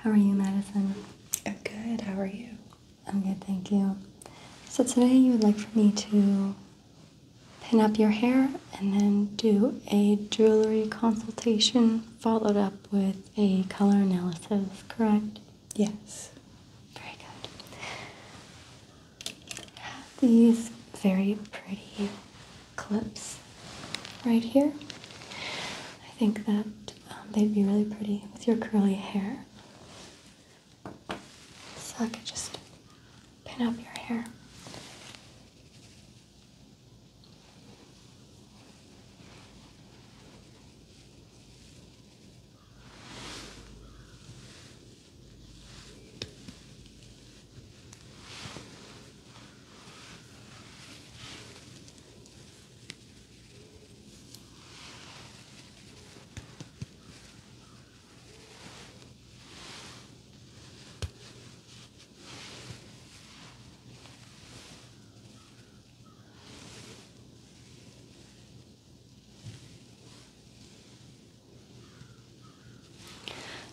How are you, Madison? I'm good. How are you? I'm good, thank you. So today you would like for me to pin up your hair and then do a jewelry consultation followed up with a color analysis, correct? Yes. Very good. have these very pretty clips right here. I think that um, they'd be really pretty with your curly hair. So I could just pin up your hair.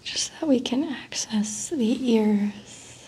Just so that we can access the ears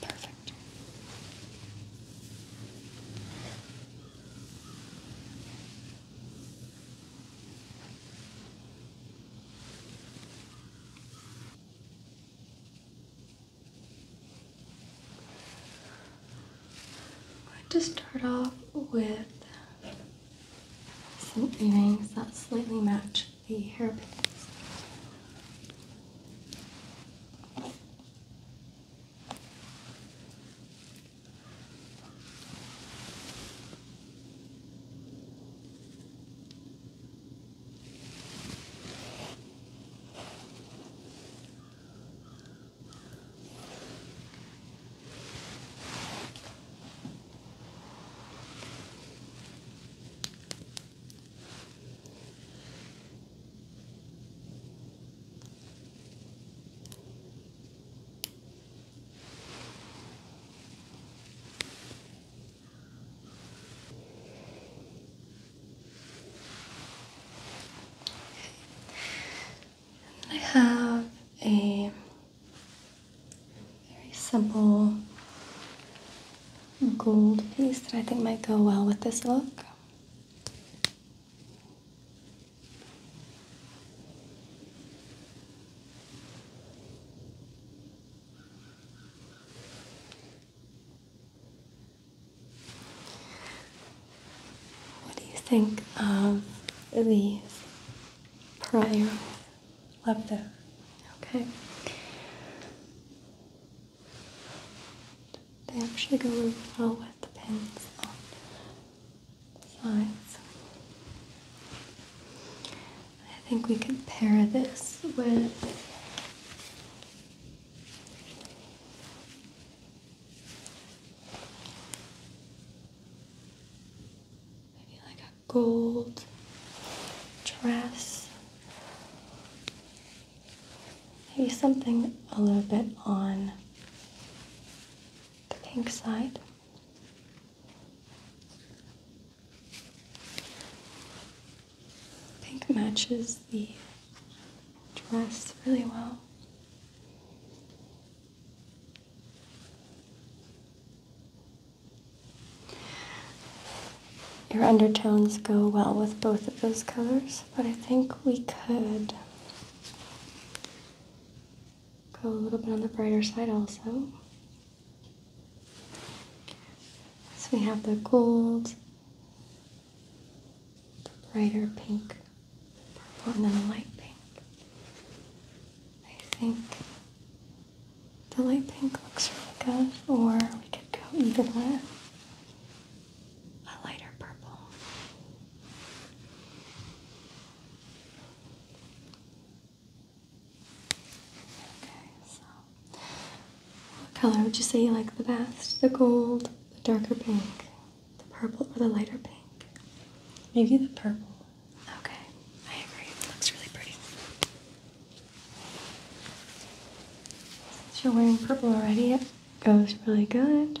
Perfect. i just start off with some earrings that slightly match the hairpins. I have a very simple gold piece that I think might go well with this look. What do you think of these prior Love that. Okay. They actually go really well with the pins on I think we can pair this with Maybe like a gold dress. Maybe something a little bit on the pink side. Pink matches the dress really well. Your undertones go well with both of those colors, but I think we could go a little bit on the brighter side also. So we have the gold, the brighter pink purple and then light pink. I think the light pink looks really good, or we could go even with a lighter purple. Okay, what color would you say you like the best? The gold, the darker pink, the purple or the lighter pink? Maybe the purple. Okay, I agree. It looks really pretty. you're wearing purple already, it goes really good.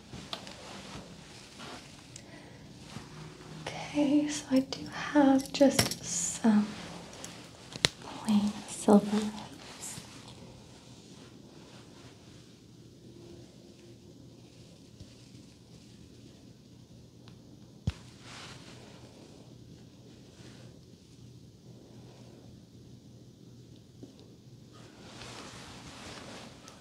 Okay, so I do have just some plain silver leaves.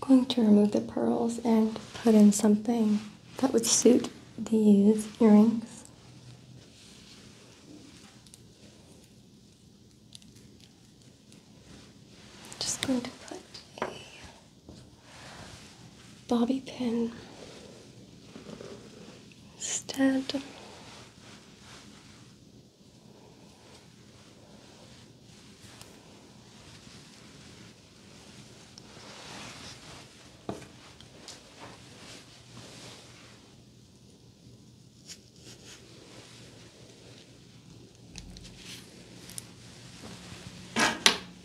going to remove the pearls and put in something that would suit these earrings. Just going to put a bobby pin instead.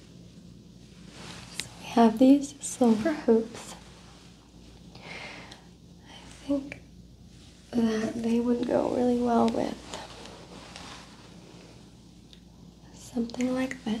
So we have these silver hoops. I think that they would go really well with something like this.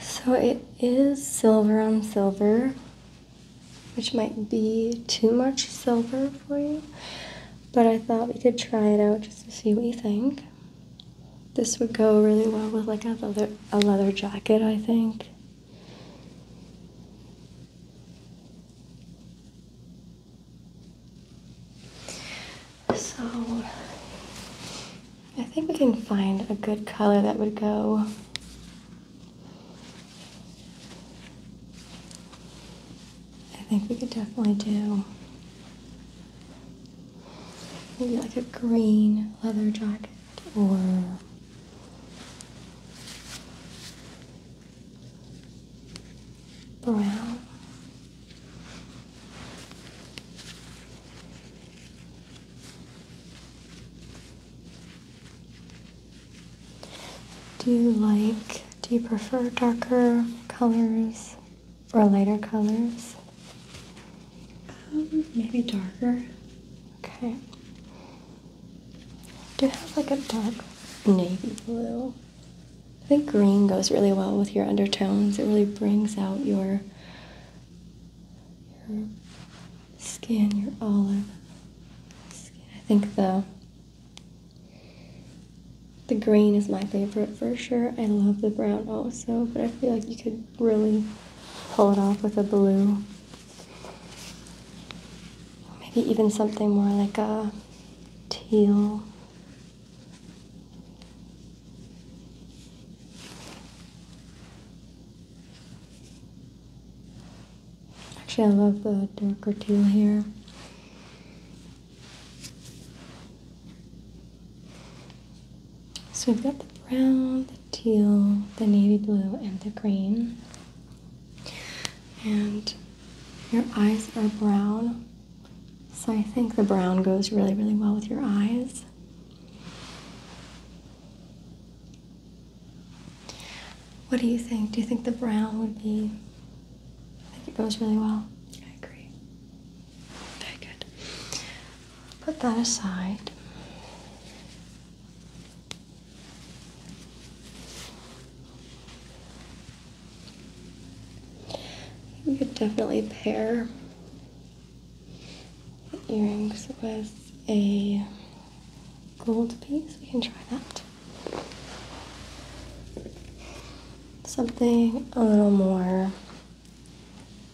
So it is silver on silver, which might be too much silver for you, but I thought we could try it out just to see what you think. This would go really well with like a leather, a leather jacket, I think. So I think we can find a good color that would go. I think we could definitely do Maybe like a green leather jacket or brown. Do you like, do you prefer darker colors or lighter colors? Um, maybe darker. Okay. Do you have like a dark navy blue. I think green goes really well with your undertones. It really brings out your your skin, your olive skin. I think the the green is my favorite for sure. I love the brown also, but I feel like you could really pull it off with a blue. Maybe even something more like a teal. Actually, I love the darker teal here. So we've got the brown, the teal, the navy blue, and the green. And your eyes are brown. So I think the brown goes really, really well with your eyes. What do you think? Do you think the brown would be? I think it goes really well. I agree. Very good. Put that aside. We could definitely pair the earrings with a gold piece. We can try that. Something a little more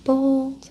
bold,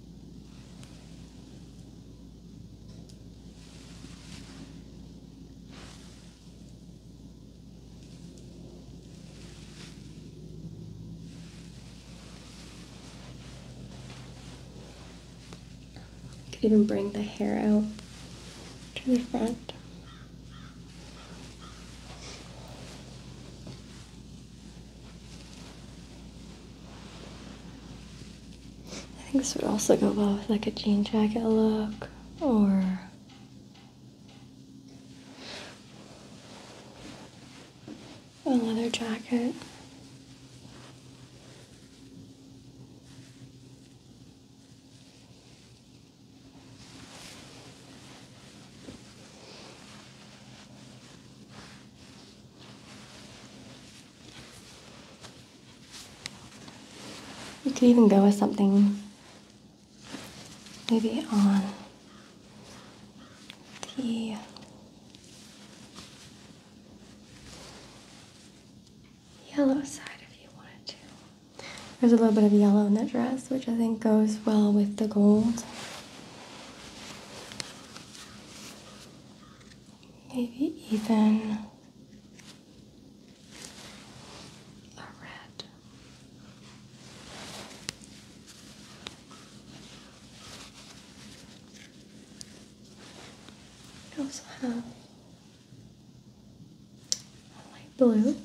You could even bring the hair out to the front. I think this would also go well with like a jean jacket look or a leather jacket. You could even go with something maybe on the yellow side if you wanted to. There's a little bit of yellow in that dress, which I think goes well with the gold maybe even a red. I also have a light blue.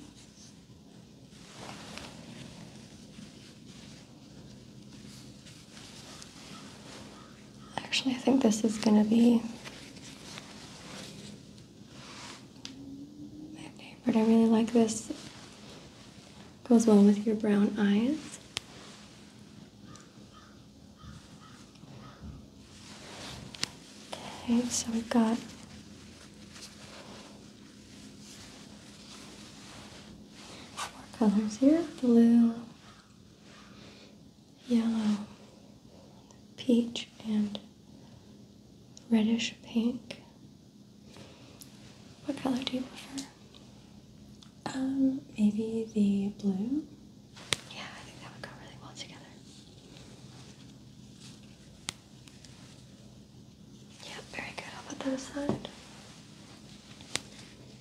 Actually, I think this is going to be my favorite. I really like this. Goes well with your brown eyes. Okay, so we've got Four colors here blue, yellow, peach, and reddish pink. What color do you prefer? Um, maybe the blue. Yeah, I think that would go really well together. Yeah, very good. I'll put that aside.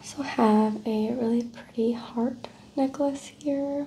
also have a really pretty heart necklace here.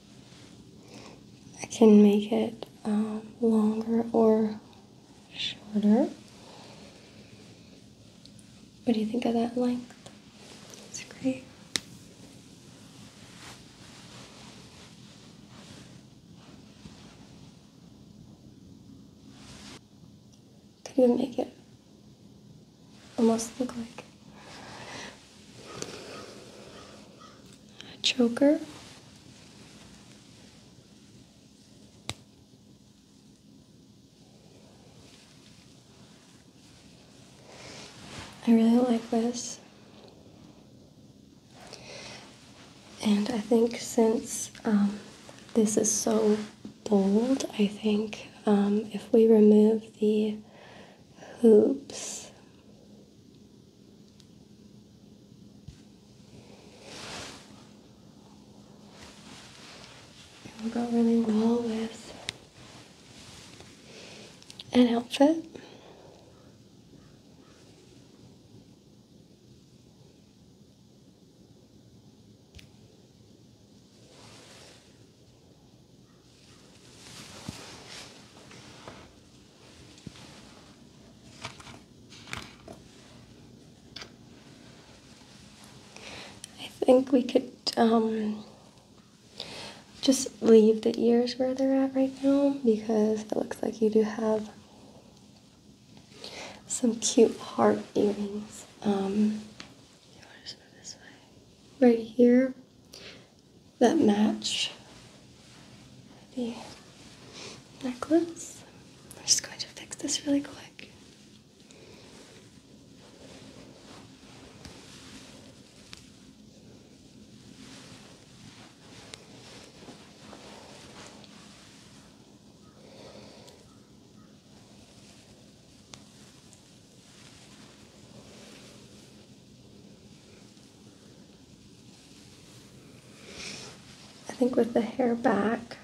I can make it um, longer or shorter. What do you think of that length? It's great. Can you make it almost look like a choker. I really like this. And I think since um, this is so bold, I think um, if we remove the hoops, it will go really well with an outfit. I think we could um, just leave the ears where they're at right now because it looks like you do have some cute heart earrings. Um, right here that match the necklace. I'm just going to fix this really quick. I think with the hair back,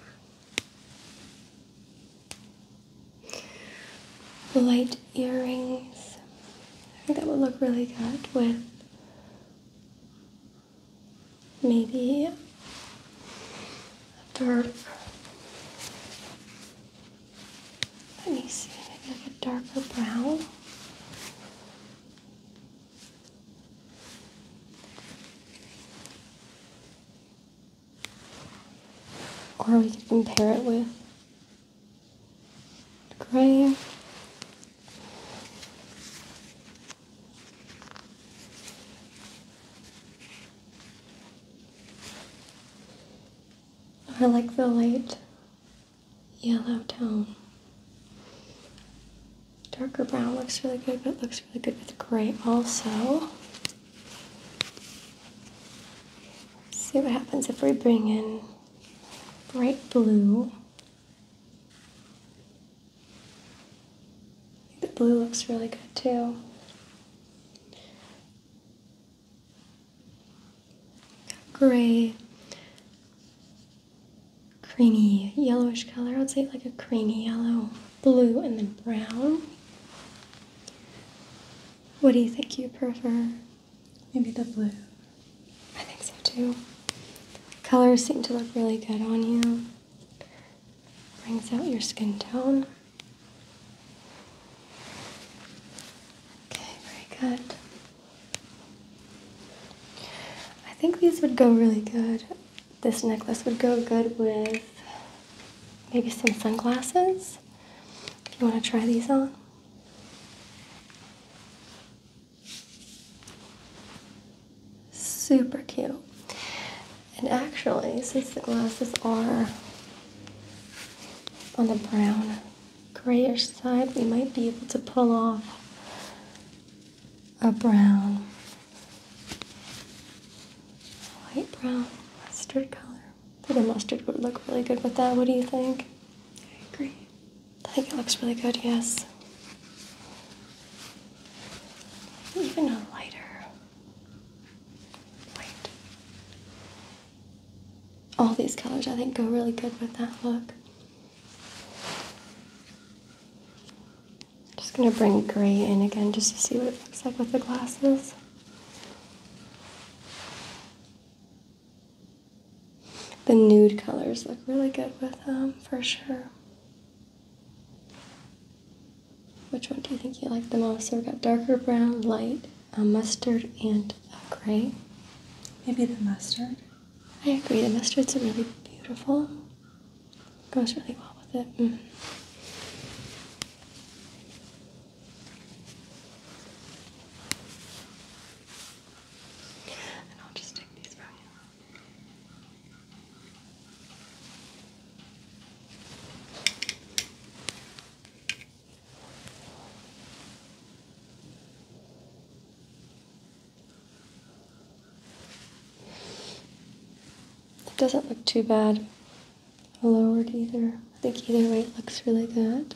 light earrings, I think that would look really good with maybe a dark let me see, maybe like a darker brown. Or we could compare it with gray. I like the light yellow tone. Darker brown looks really good, but it looks really good with gray also. see what happens if we bring in bright blue. The blue looks really good too gray, creamy yellowish color. I would say like a creamy yellow, blue, and then brown. What do you think you prefer? Maybe the blue. I think so too. Colors seem to look really good on you. Brings out your skin tone. Okay, very good. I think these would go really good. This necklace would go good with maybe some sunglasses. If you want to try these on. Super cute. And actually, since the glasses are on the brown grayish side, we might be able to pull off a brown, light brown mustard color. I think a mustard would look really good with that. What do you think? I agree. I think it looks really good, yes. Even a lighter white all these colors I think go really good with that look. Just gonna bring gray in again just to see what it looks like with the glasses. The nude colors look really good with them for sure. Which one do you think you like the most? So we've got darker brown, light, a mustard, and a gray. Maybe the mustard. I agree. The mustard's a really beautiful. Goes really well with it. Mm. And I'll just take these from you. It doesn't look too bad lowered either. I think either way it looks really good.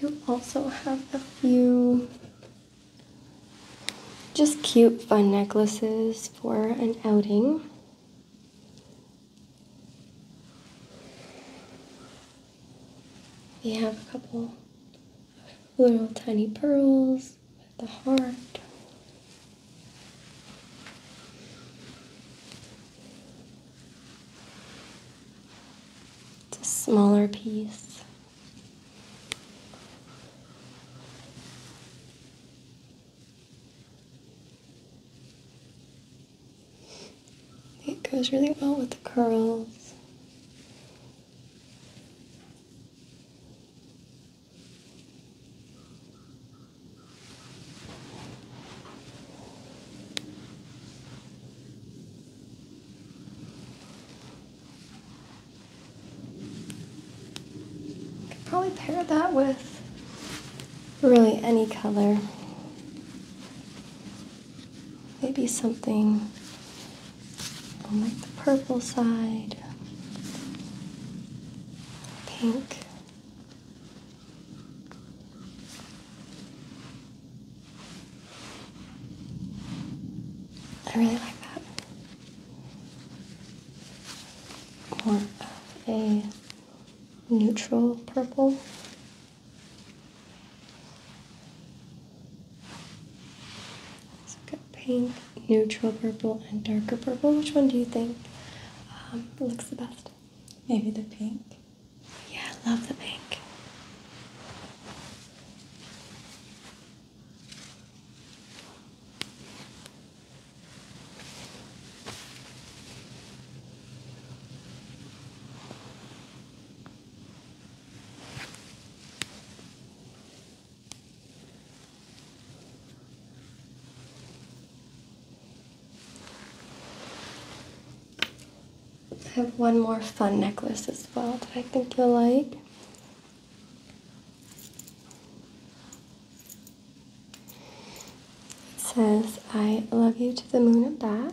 Do also have a few just cute fun necklaces for an outing. We have a couple little tiny pearls with the heart. It's a smaller piece. It goes really well with the curls. Could probably pair that with really any color maybe something like the purple side, pink. I really like that. More of a neutral purple. So we've got pink, neutral purple, and darker purple. Which one do you think um, looks the best? Maybe the pink. Yeah, I love the pink. I have one more fun necklace as well that I think you'll like. It says, I love you to the moon and back.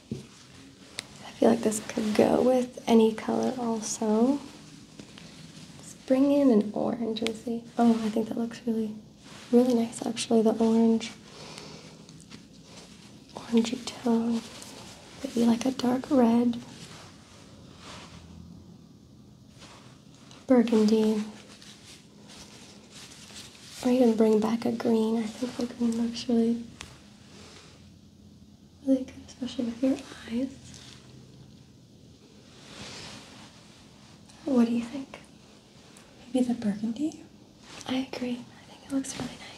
I feel like this could go with any color also. Let's bring in an orange and see. Oh, I think that looks really, really nice actually, the orange. orangy tone. Maybe like a dark red. Burgundy. Or even bring back a green. I think the green looks really really good, especially with your eyes. What do you think? Maybe the burgundy? I agree. I think it looks really nice.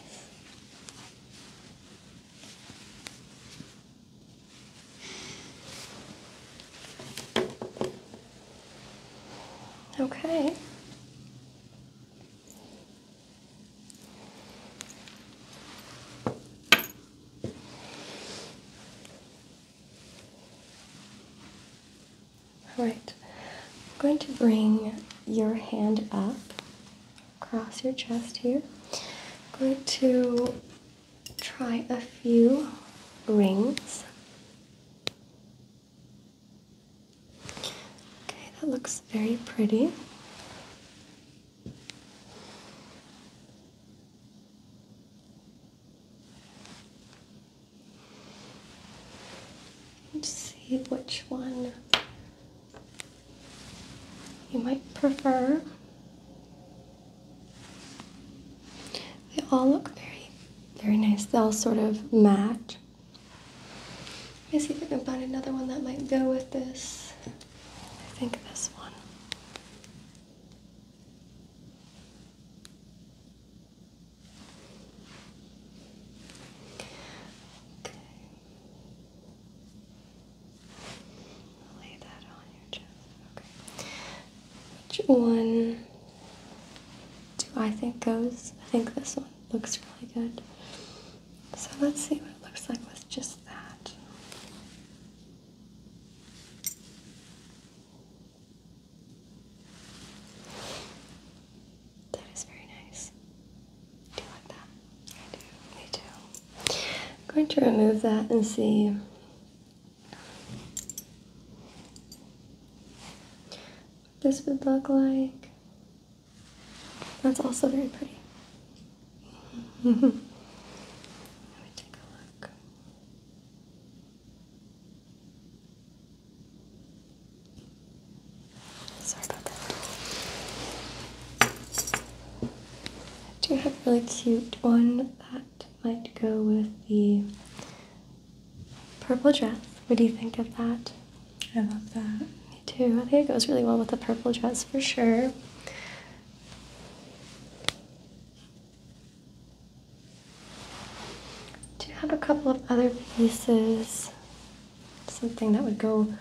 Okay. All right, I'm going to bring your hand up across your chest here. I'm going to try a few rings. Okay, that looks very pretty. Let's see which one you might prefer. They all look very, very nice. They all sort of match. I guess even about another one that might go with this. I think this one. Okay. Lay that on your chest. Okay. Which one do I think goes? I think this one looks really good. So let's see what it looks like with just that. That is very nice. Do you like that? I do. Me too. I'm going to remove that and see. What this would look like. That's also very pretty. Let me take a look. Sorry about that. I do have a really cute one that might go with the purple dress. What do you think of that? I love that. Me too. I think it goes really well with the purple dress for sure. Do you have a couple of other pieces. Something that would go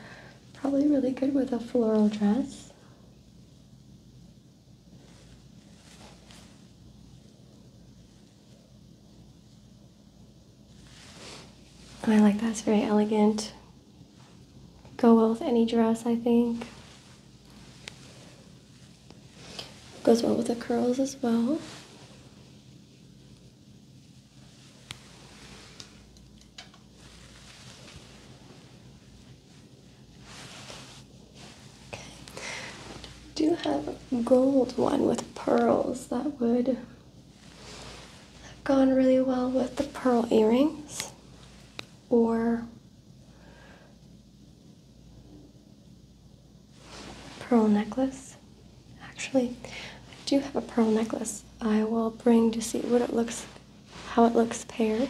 probably really good with a floral dress. I like that. It's very elegant. Go well with any dress, I think. Goes well with the curls as well. Okay. Do have a gold one with pearls that would They've gone really well with the pearl earrings or pearl necklace. Actually, I do have a pearl necklace I will bring to see what it looks how it looks paired.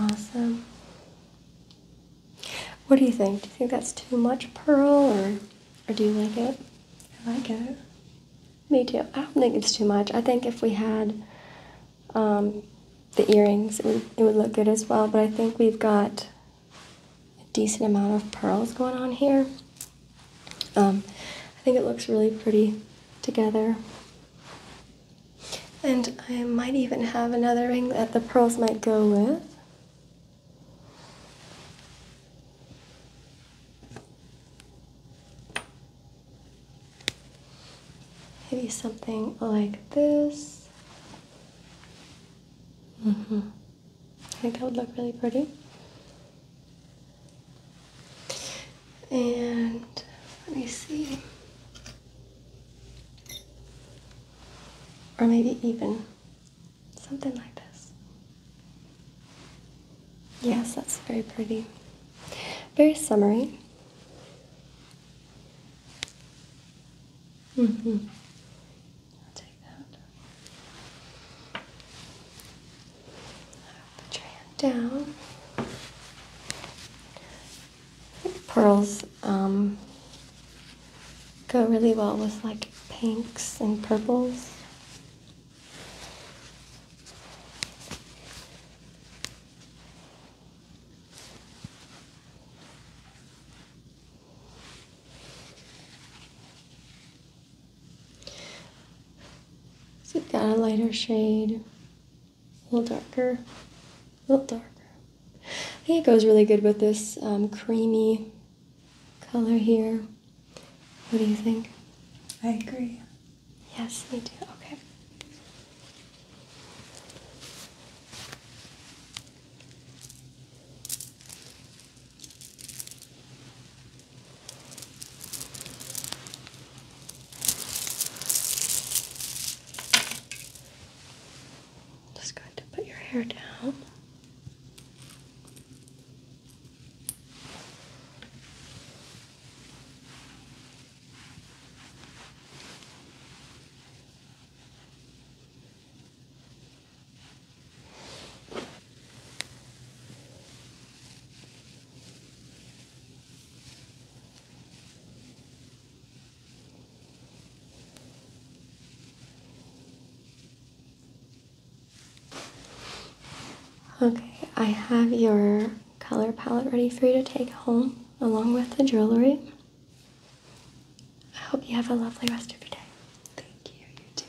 Awesome. What do you think? Do you think that's too much pearl or, or do you like it? I like it. Me too. I don't think it's too much. I think if we had um, the earrings, it would, it would look good as well, but I think we've got a decent amount of pearls going on here. Um, I think it looks really pretty together. And I might even have another ring that the pearls might go with. Maybe something like this. Mm hmm I think that would look really pretty. And let me see. Or maybe even something like this. Yes, that's very pretty. Very summery. Mm-hmm. I'll take that. Put your hand down. Pearls um, go really well with like pinks and purples. So you've got a lighter shade, a little darker, a little darker. I think it goes really good with this um, creamy color here. What do you think? I agree. Yes, me too. Okay. Just going to put your hair down. Okay, I have your color palette ready for you to take home along with the jewelry. I hope you have a lovely rest of your day. Thank you, you too.